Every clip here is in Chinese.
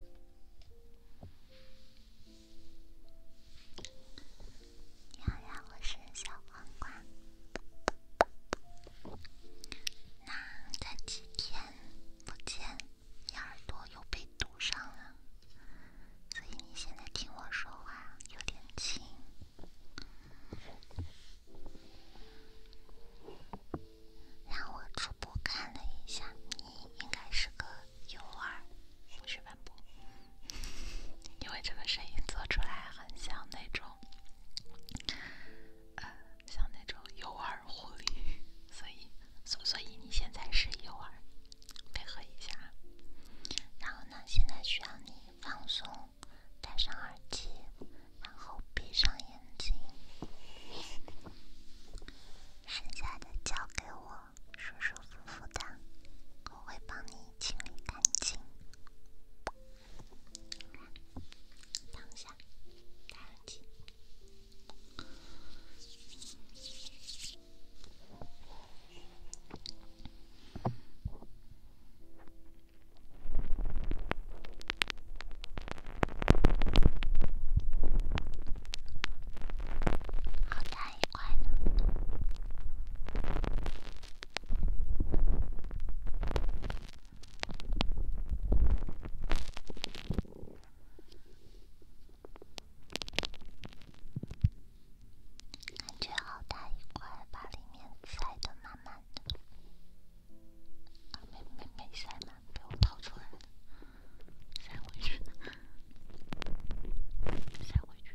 你好呀，我是小黄瓜。那这几天不见，你耳朵又被堵上了，所以你现在听我说话有点轻。让我初步看了一下，你应该是个幼儿。不是反驳，因为这个声音做出来很像那种，呃，像那种幼儿护理。所以，所所以你现在是幼儿，配合一下。然后呢，现在需要你放松，戴上耳机，然后闭上眼睛，剩下。交给我，舒舒服服的，我会帮你清理干净。等一下，干净。好大一块呢，感觉好大一块，把里面塞得满满的。没没没塞满，被我掏出来了。塞回去，塞回去。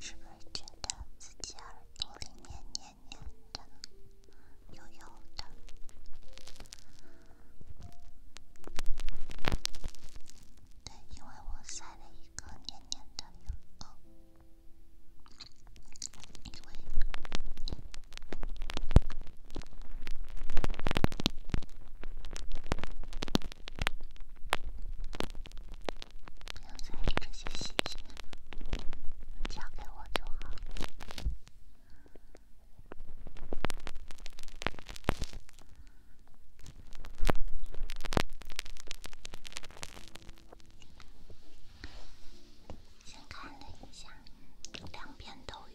是不是觉得自己耳朵里面黏黏的、油油的？对，因为我晒了。一个黏黏的乳酪。不要在意这些细节，交给我就好。先看了一下，两边都有。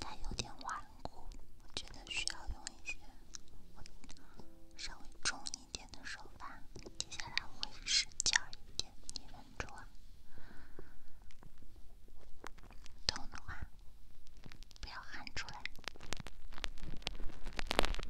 它有点顽固，我觉得需要用一些稍微重一点的手法。接下来会是较一点，你忍住痛的话不要喊出来。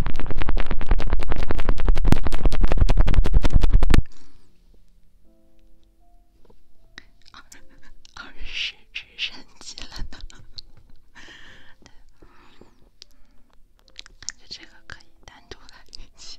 二十直升机了呢，对，感觉这个可以单独来一期。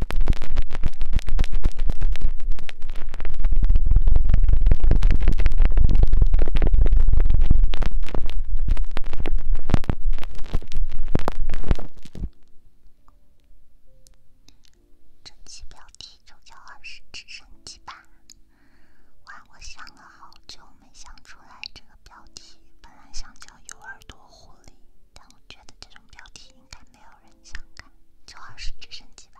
这期标题就叫《二十只神奇吧》。哇，我想了好久没想出来这个标题，本来想叫《有耳朵狐狸》。但我觉得这种标题应该没有人想看，就二是直升机吧。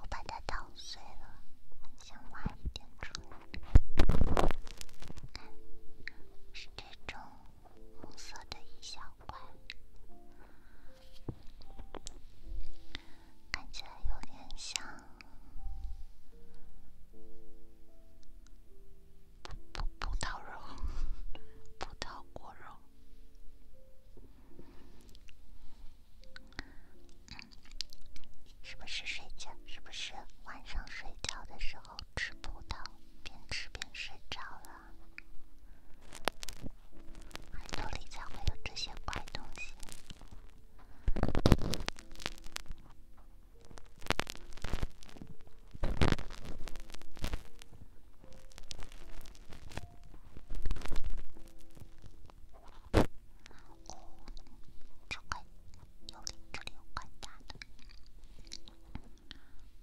我把它捣碎了，想挖一点出来。看，是这种。红色的一小块，看起来有点像葡葡葡萄肉，葡萄果肉。是不是睡觉？是不是晚上睡觉的时候吃葡萄，边吃边睡着了？海斗里才会有这些怪东西。哦，就怪，有里这里有怪蛋的。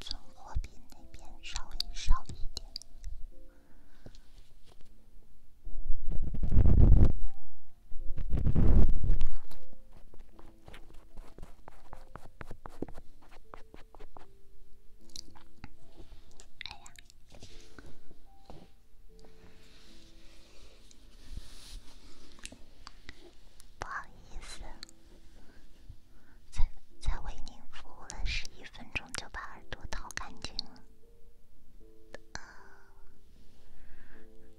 存货比那边稍微少一点。哎呀，不好意思。才才为您服务了十一分钟，就把耳朵掏干净了，呃，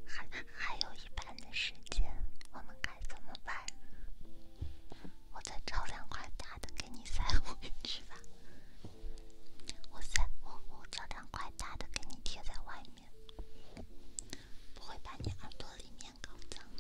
还还有一半的时间，我们该怎么办？我再找两块大的给你塞回我塞我我找两块大的给你贴在外面，不会把你耳朵里面搞脏。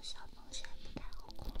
小螃蟹不太好控制，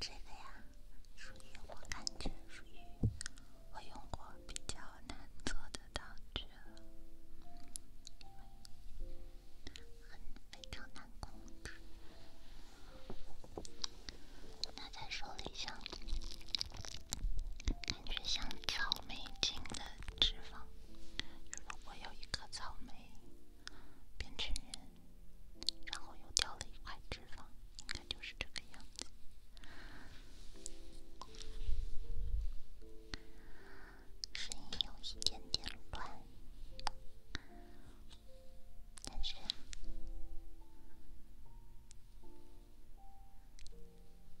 这个呀，属于我感觉属于我用过比较难做得到的。很非常难控制。它在手里像，感觉像草莓精的脂肪。如果有一颗草莓变成人，然后又掉了一块脂肪，应该就是这个样子。声音有一点点乱，但是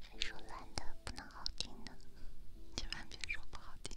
谁说乱的不能好听的，千万别说不好听。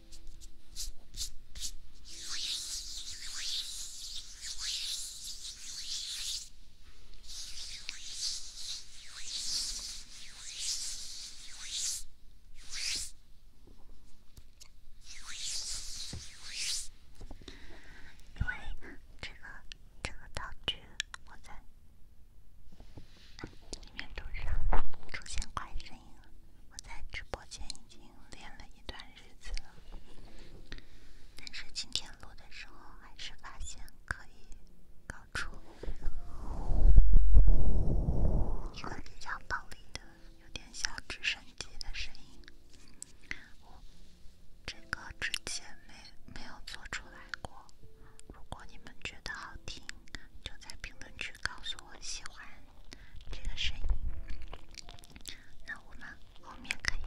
因为这个这个道具我在里面头上出现怪声音了，我在直播间。已经练了一段日子了，但是今天录的时候还是发现可以搞出比较暴力的、有点像直升机的声音。这个之前没没有做出来过，如果你们觉得好听，就在评论区告诉我喜欢这个声音。那我们后面可以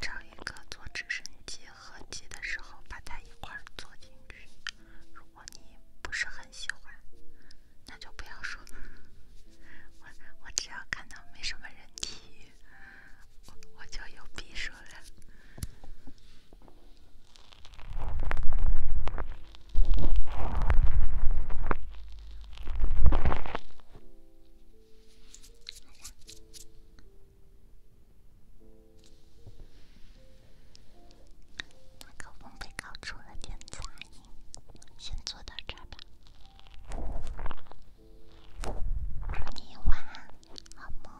找一个坐直升机、客机的时候把它一块儿坐进去。如果你不是很喜欢，那就不要说。我我只要看到没什么人体育，我我就有逼数了。麦克风被搞出了点杂音，先做到这吧。祝你晚安，好梦。